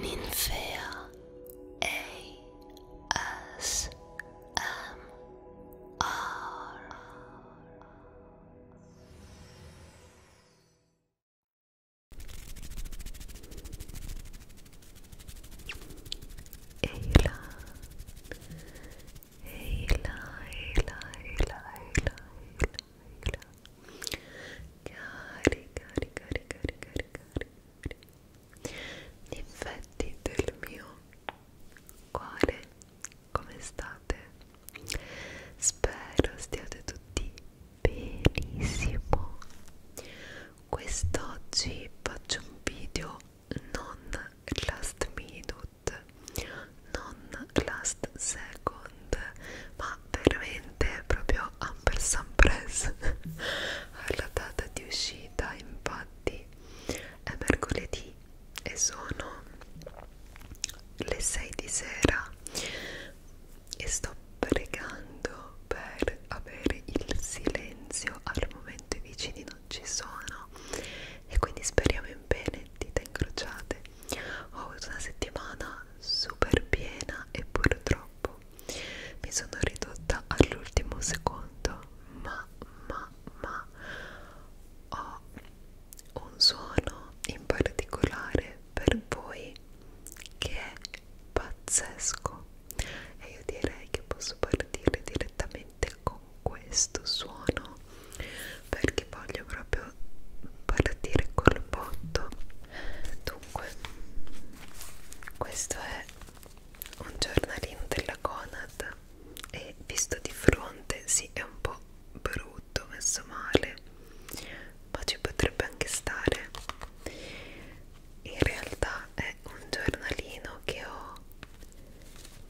Ninfea ASMR Ayla Ayla Ayla Ayla Ayla tranquilla carica, carica, carica, carica gli infetti del mio cuore come state? spero stiate tutti benissimo quest'oggi faccio un video non last minute non last second Bond ma veramente proprio ampersand press alla data di uscita infatti è mercoledì e sono le 6 di sera e sto pregando per avere il silenzio al momento i vicini non ci sono e quindi speriamo in bene dita incrociate ho avuto una settimana super piena e purtroppo mi sono ridotta all'ultimo secondo ma ma ma ho un suono in particolare per voi che è pazzesco e io direi che posso partire direttamente con questo suono perché voglio proprio proprio partire col botto dunque questo è un giornalino della Conad e visto di fronte si sì, è un po' brutto messo male ma ci potrebbe anche stare in realtà è un giornalino che ho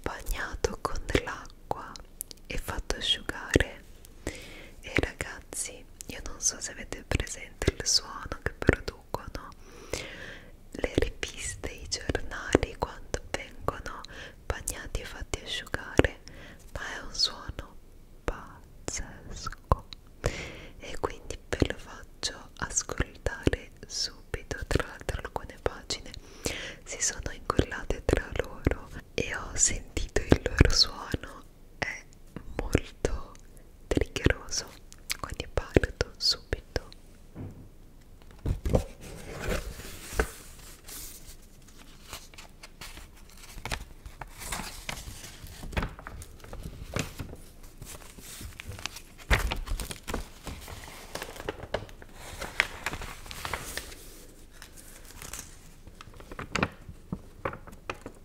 bagnato con l'acqua e fatto asciugare e ragazzi io non so se avete presente il suono che producono le riviste, i giornali quando vengono bagnati e fatti asciugare ma è un suono pazzesco e quindi ve lo faccio ascoltare subito tra l'altro alcune pagine si sono incollate tra loro e ho sentito il loro suono è molto triggeroso quindi parto subito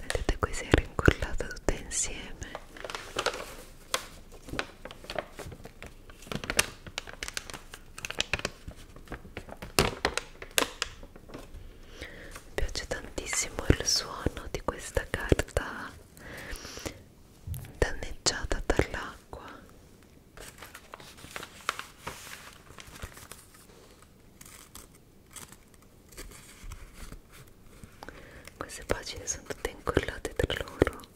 Vedete qui si è rincollata tutta insieme mi piace tantissimo il suono di questa carta danneggiata dall'acqua. Queste pagine sono tutte incollate tra loro.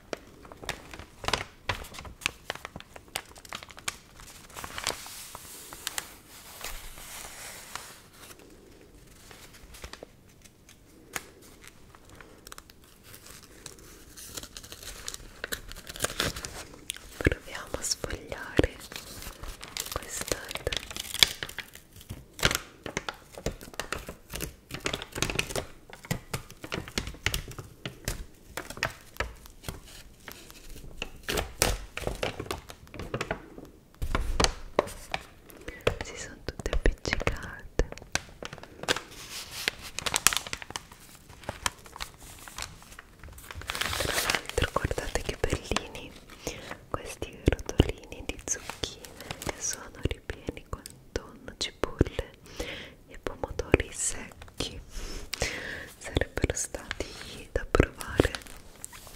Proviamo a sfogliare quest'altro si sono tutte appiccicate tra l'altro guardate che bellini questi rotolini di zucchine che sono ripieni con tonno, cipolle e pomodori secchi sarebbero stati da provare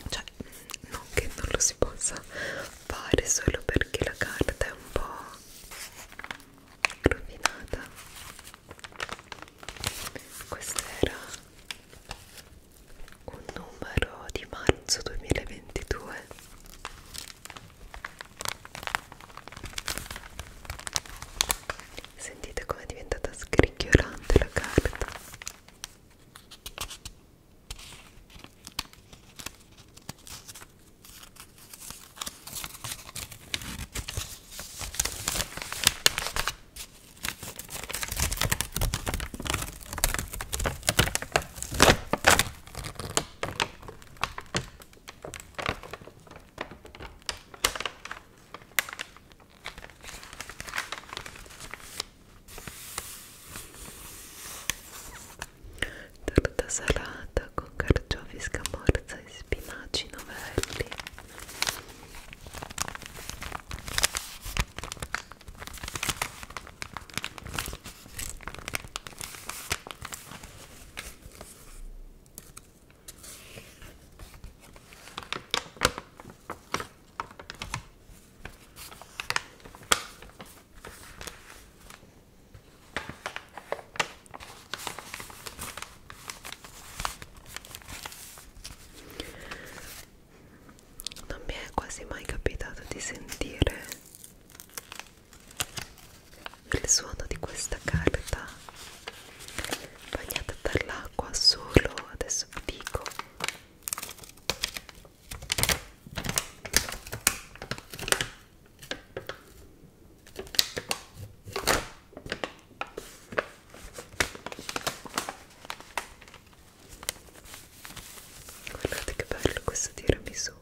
cioè non che non lo si possa fare solo perché la carta è un po' rovinata questo era un numero di marzo 2022 Sentite com'è diventata scricchiolante la carta. Torta salata con carciofi, scamorza e spinaci novelli non mi è quasi mai capitato di sentire il suono di questa carta bagnata dall'acqua solo adesso vi dico guardate che bello questo tiramisù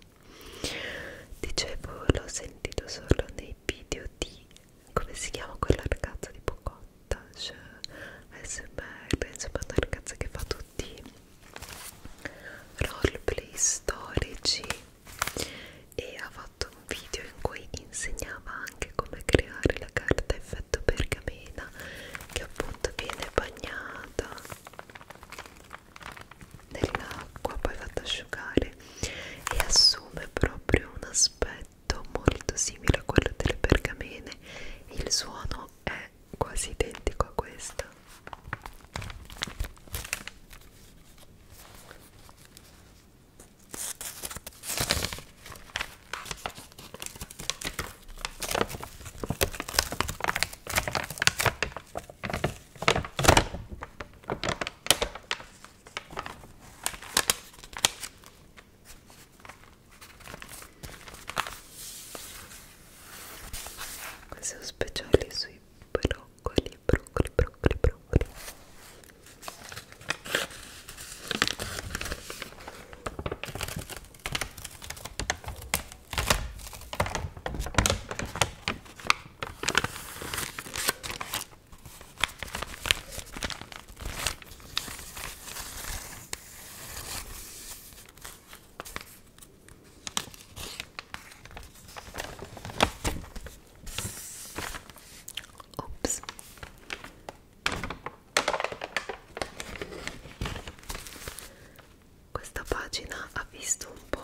dicevo l'ho sentito solo nei video di come si chiama quella ragazza di Pocottas cioè, SMR insomma una ragazza che fa tutti roleplay storici e ha fatto un video in cui insegnava anche come creare la carta effetto pergamena che appunto viene bagnata nell'acqua poi fatta asciugare e assume proprio un aspetto molto simile a quello delle pergamene il suono è quasi identico a questo questi sono speciali sui broccoli, broccoli, broccoli, broccoli. Ops. Questa pagina ha visto un po'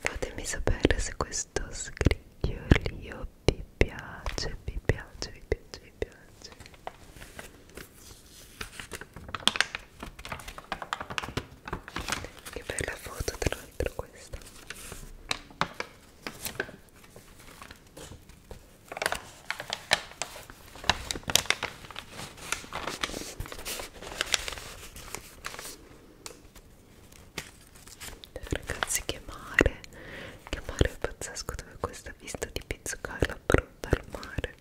Fatemi sapere se questo scricchiolio vi piace, vi piace, vi piace, vi piace. Che bella foto tra l'altro questa. Ragazzi che mare, che mare pazzesco dove questa vista di Pizzucala pronta al mare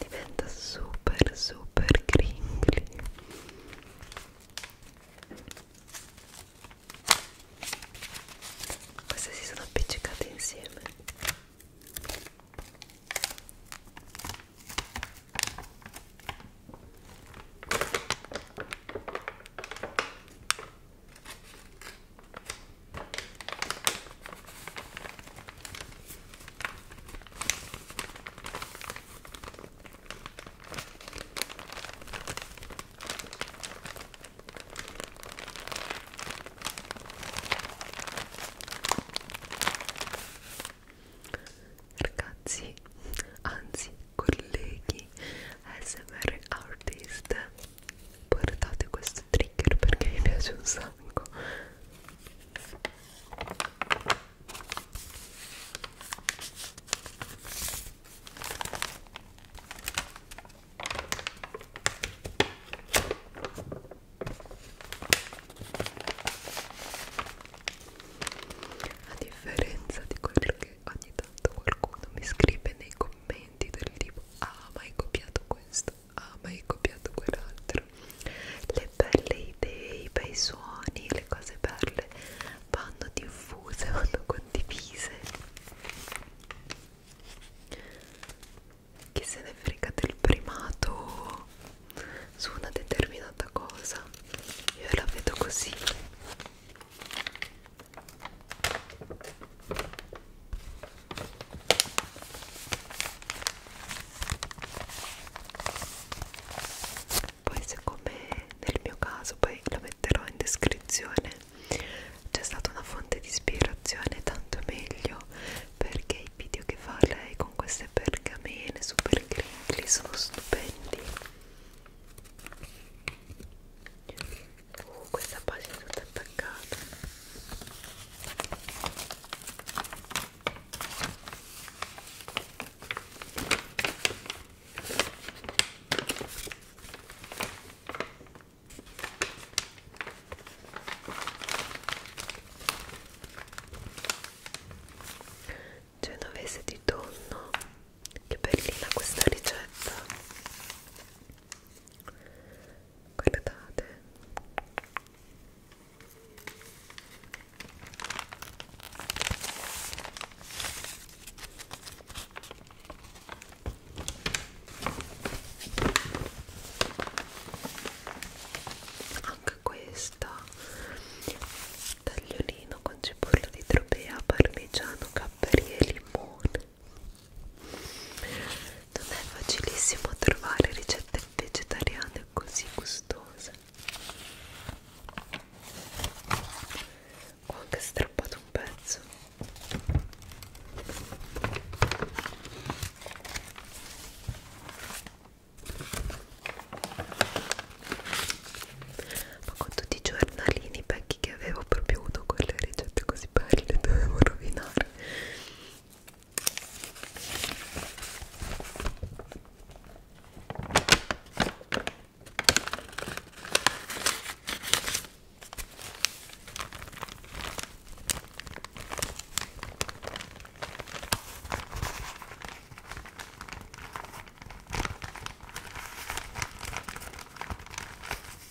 diventa super super cringly queste si sono appiccicate insieme Ragazzi, anzi colleghi ASMR Artist guardate questo trigger perché mi piace un sacco a differenza di quello che ogni tanto qualcuno mi scrive nei commenti commenti del tipo ah ma hai copiato questo, ah ma hai copiato quell'altro le belle idee, i bei suoni, le cose belle vanno diffuse, vanno condivise chi se ne frega del primato su una determinata cosa io la vedo così poi se come nel mio caso, poi lo metterò in descrizione, c'è stata una fonte di ispirazione tanto meglio perché i video che fa lei con queste pergamene super crinkly sono stupendi Uh, questa pagina è tutta attaccata. Genovese di tonno, che bellina questa ricetta! guardate anche questa tagliolino con cipolla di tropea parmigiano capperi e limone non è facilissimo trovare ricette vegetariane così gustose ho anche strappato un pezzo ma con tutti i giornalini vecchi che avevo proprio uno quello ricette così belle le dovevo rovinare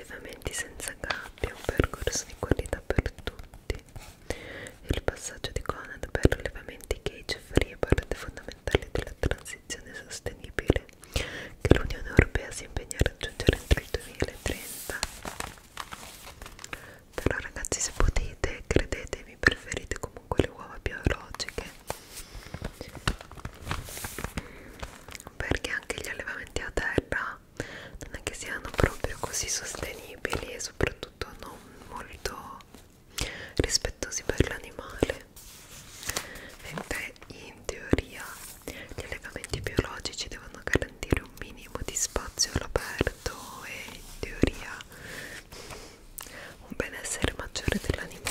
Allevamenti senza gabbia, un percorso di qualità per tutti. Il passaggio di Conad per allevamenti cage free è parte fondamentale della transizione sostenibile che l'Unione Europea si impegna a raggiungere entro il 2030 però ragazzi se potete credetemi preferite comunque le uova biologiche perché anche gli allevamenti a terra non è che siano proprio così sostenibili e soprattutto non molto rispettosi per l'animale mentre in teoria gli allevamenti biologici devono garantire un minimo di spazio all'aperto e in teoria un benessere maggiore dell'animale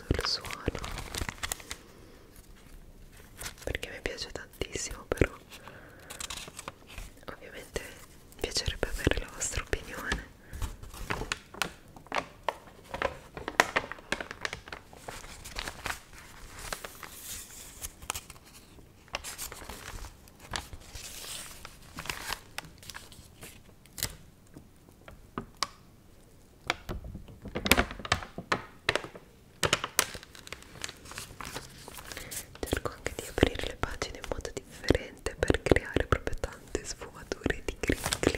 sul suono perché mi piace tantissimo però ovviamente mi piacerebbe avere la vostra opinione Cerco anche di aprire le pagine in modo differente per creare proprio tante sfumature di crinkly.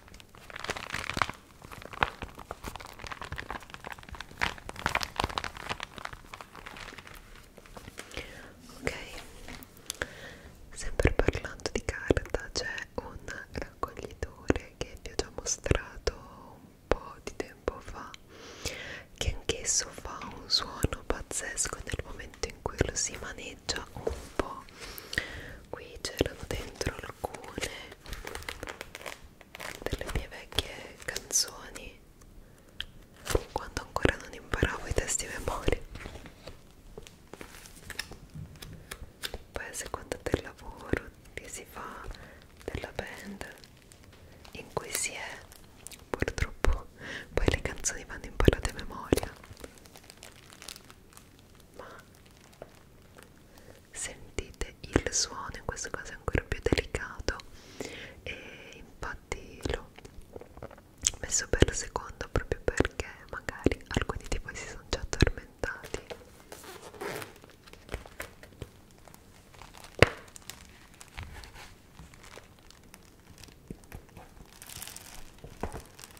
Ok, sempre parlando di carta c'è un raccoglitore che vi ho già mostrato un po' di tempo fa che anch'esso fa un suono pazzesco nel momento in cui lo si maneggia un po' qui c'erano dentro alcune delle mie vecchie canzoni quando ancora non imparavo i testi a memoria poi a seconda del lavoro che si fa della band in cui si è purtroppo poi le canzoni vanno imparate a memoria ma sentite il suono in questo caso è ancora più delicato e infatti l'ho messo per la seconda proprio perché magari alcuni di voi si sono già addormentati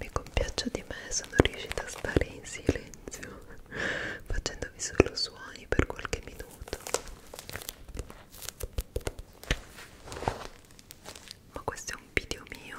Mi compiaccio di me, sono riuscita a stare in silenzio facendovi solo suoni per qualche minuto. Ma questo è un video mio.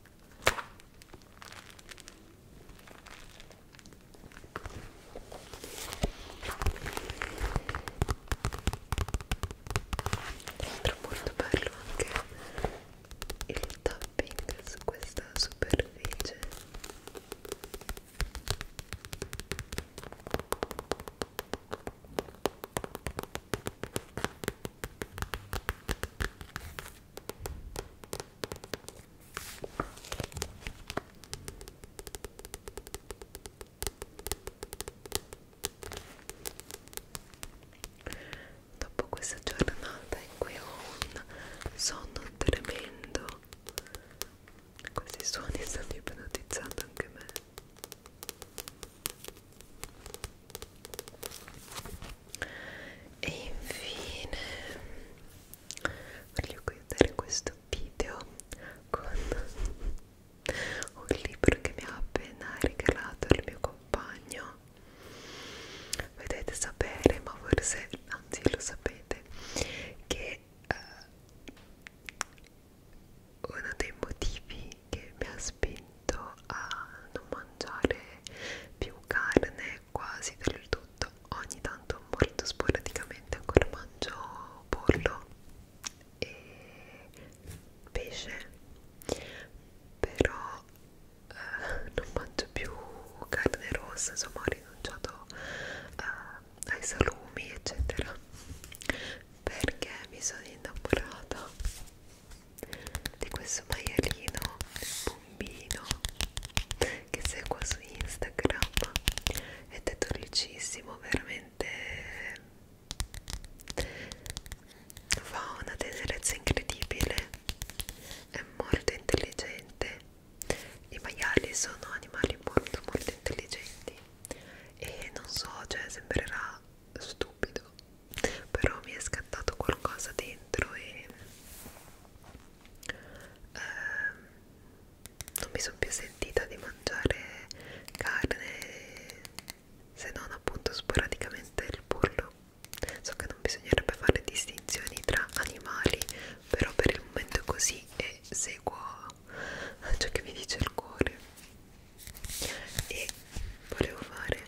Tra molto bello anche il tapping su questa superficie Dopo questa giornata in cui ho un sonno tremendo, questi suoni stanno ipnotizzando anche me e infine voglio chiudere questo video con un libro che mi ha appena regalato il mio compagno vedete sapere ma forse anzi lo sapete che uh, uno dei motivi che mi ha spinto a non mangiare più carne quasi del tutto ogni tanto molto sporadicamente ancora mangio pollo e pesce però eh, non mangio più carne rossa insomma ho rinunciato eh, ai salumi eccetera perché mi sono innamorata di questo maialino bombino che seguo su Instagram ed è dolcissimo, veramente fa una tenerezza incredibile, è molto intelligente. I maiali sono animali molto molto intelligenti e non so, cioè sembrerà stupido però mi è scattato qualcosa dentro e ehm, non mi sono più sentita di mangiare carne se non appunto sporadicamente il pollo so che non bisognerebbe fare distinzioni tra animali però per il momento è così e seguo ciò che mi dice il cuore e volevo fare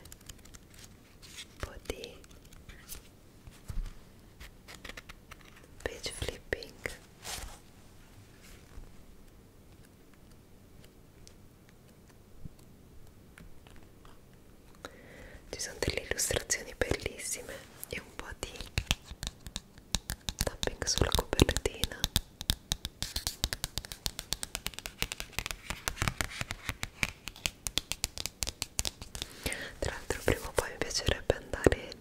un po' di page flipping ci sono delle illustrazioni bellissime e un po' di tapping sulla copertina tra l'altro prima o poi mi piacerebbe andare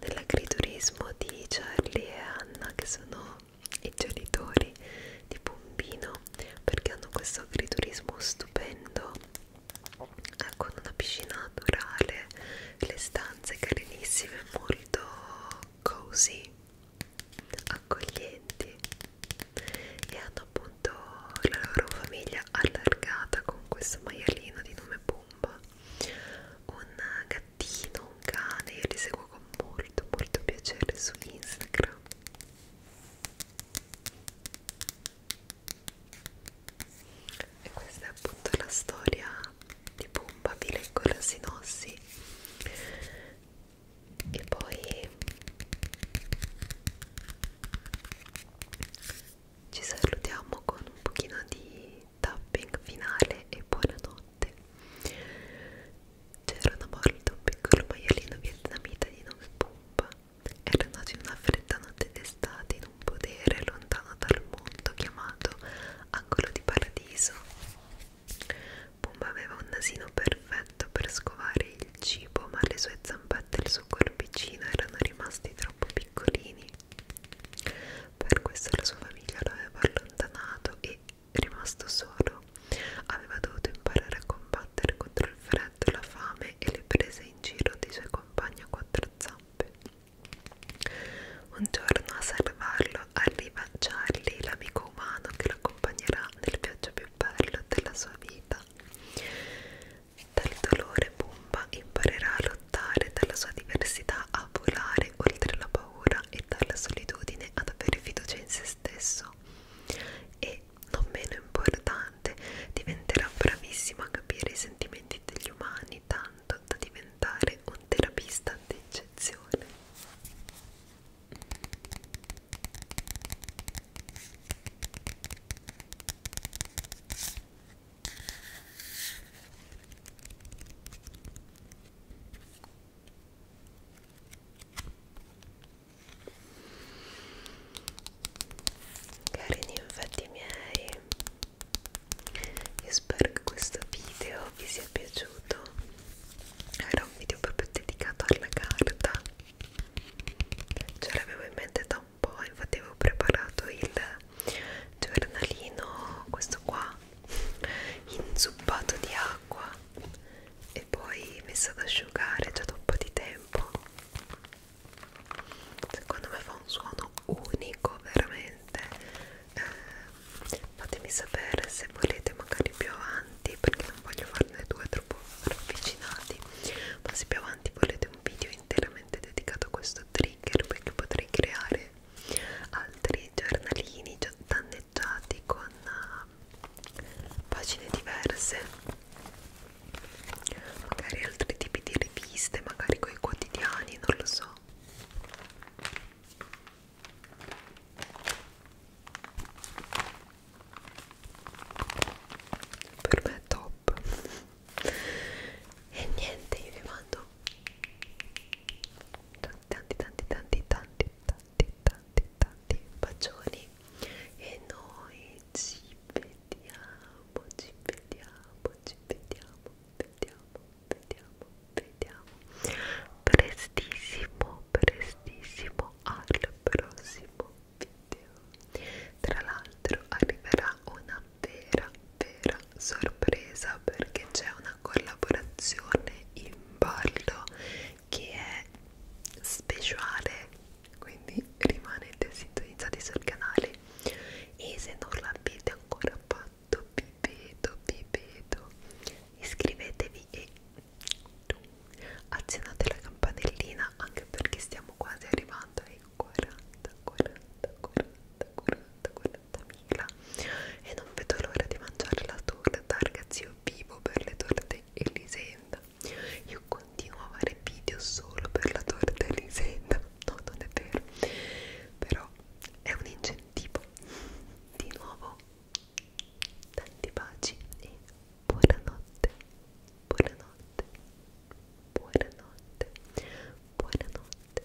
nell'agriturismo di Charlie e Anna che sono i genitori di Pompino perché hanno questo agriturismo stupendo eh, con una piscina naturale, le stanze carinissime, molto cozy accoglienti e hanno appunto la loro famiglia allargata con questo maialino di nome Pumba un gattino, un cane, io li seguo con molto molto piacere su Instagram e questa è appunto la storia di Pumba, vi leggo la sinossi e poi ci salutiamo con un pochino di tapping finale e buonanotte c'era una volta un piccolo maialino vietnamita di nome Pumba era nato in una fredda notte d'estate in un podere lontano dal mondo chiamato Angolo di Paradiso Pumba aveva un nasino perfetto per scovare il cibo, ma le sue zampette e il suo corpicino erano rimasti troppo piccolini. Per questo la sua famiglia lo aveva allontanato e, rimasto solo, aveva dovuto imparare a combattere contro il freddo, la fame e le prese in giro dei suoi compagni a quattro zampe. Un giorno a salvarlo giorno arriva Charlie, l'amico umano che lo accompagnerà nel viaggio più bello della sua vita. Dal dolore Bumba imparerà a lottare, dalla sua diversità a volare oltre la paura e dalla solitudine ad avere fiducia in se stesso. E, non meno importante, diventerà bravissimo a capire i sentimenti degli umani tanto da diventare un terapista d'eccezione. Carini infatti miei, io spero che questo video vi sia piaciuto era un video proprio dedicato alla carta ce l'avevo in mente da un po' infatti avevo preparato il giornalino questo qua inzuppato di acqua e poi messo ad asciugare già da un po' di tempo secondo me fa un suono unico veramente eh, fatemi sapere se volete magari più avanti perché non voglio farne due troppo ravvicinati ma se più avanti volete un video interamente dedicato a questo trigger perché potrei creare altri giornalini danneggiati con uh, pagine diverse magari altri tipi di riviste magari con i quotidiani non lo so per me è top e niente io vi mando tanti tanti tanti tanti tanti tanti tanti bacioni e noi ci vediamo ci vediamo ci vediamo vediamo vediamo, vediamo. Prestissimo, prestissimo al prossimo video. Tra l'altro arriverà una vera, vera sorpresa perché c'è una collaborazione in ballo che è speciale quindi rimanete sintonizzati sul canale e se non l'avete ancora fatto fatto vi vedo vi vedo iscrivetevi e azionate la campanellina anche perché stiamo quasi arrivando ai 40 40 40 40 40 mila e non vedo l'ora di mangiare la torta ragazzi io vivo per le torte Elisenda io continuo a fare video solo per la torta Elisenda no non è vero però è un incentivo di nuovo tanti baci e buonanotte, buonanotte, buonanotte, buonanotte, buonanotte.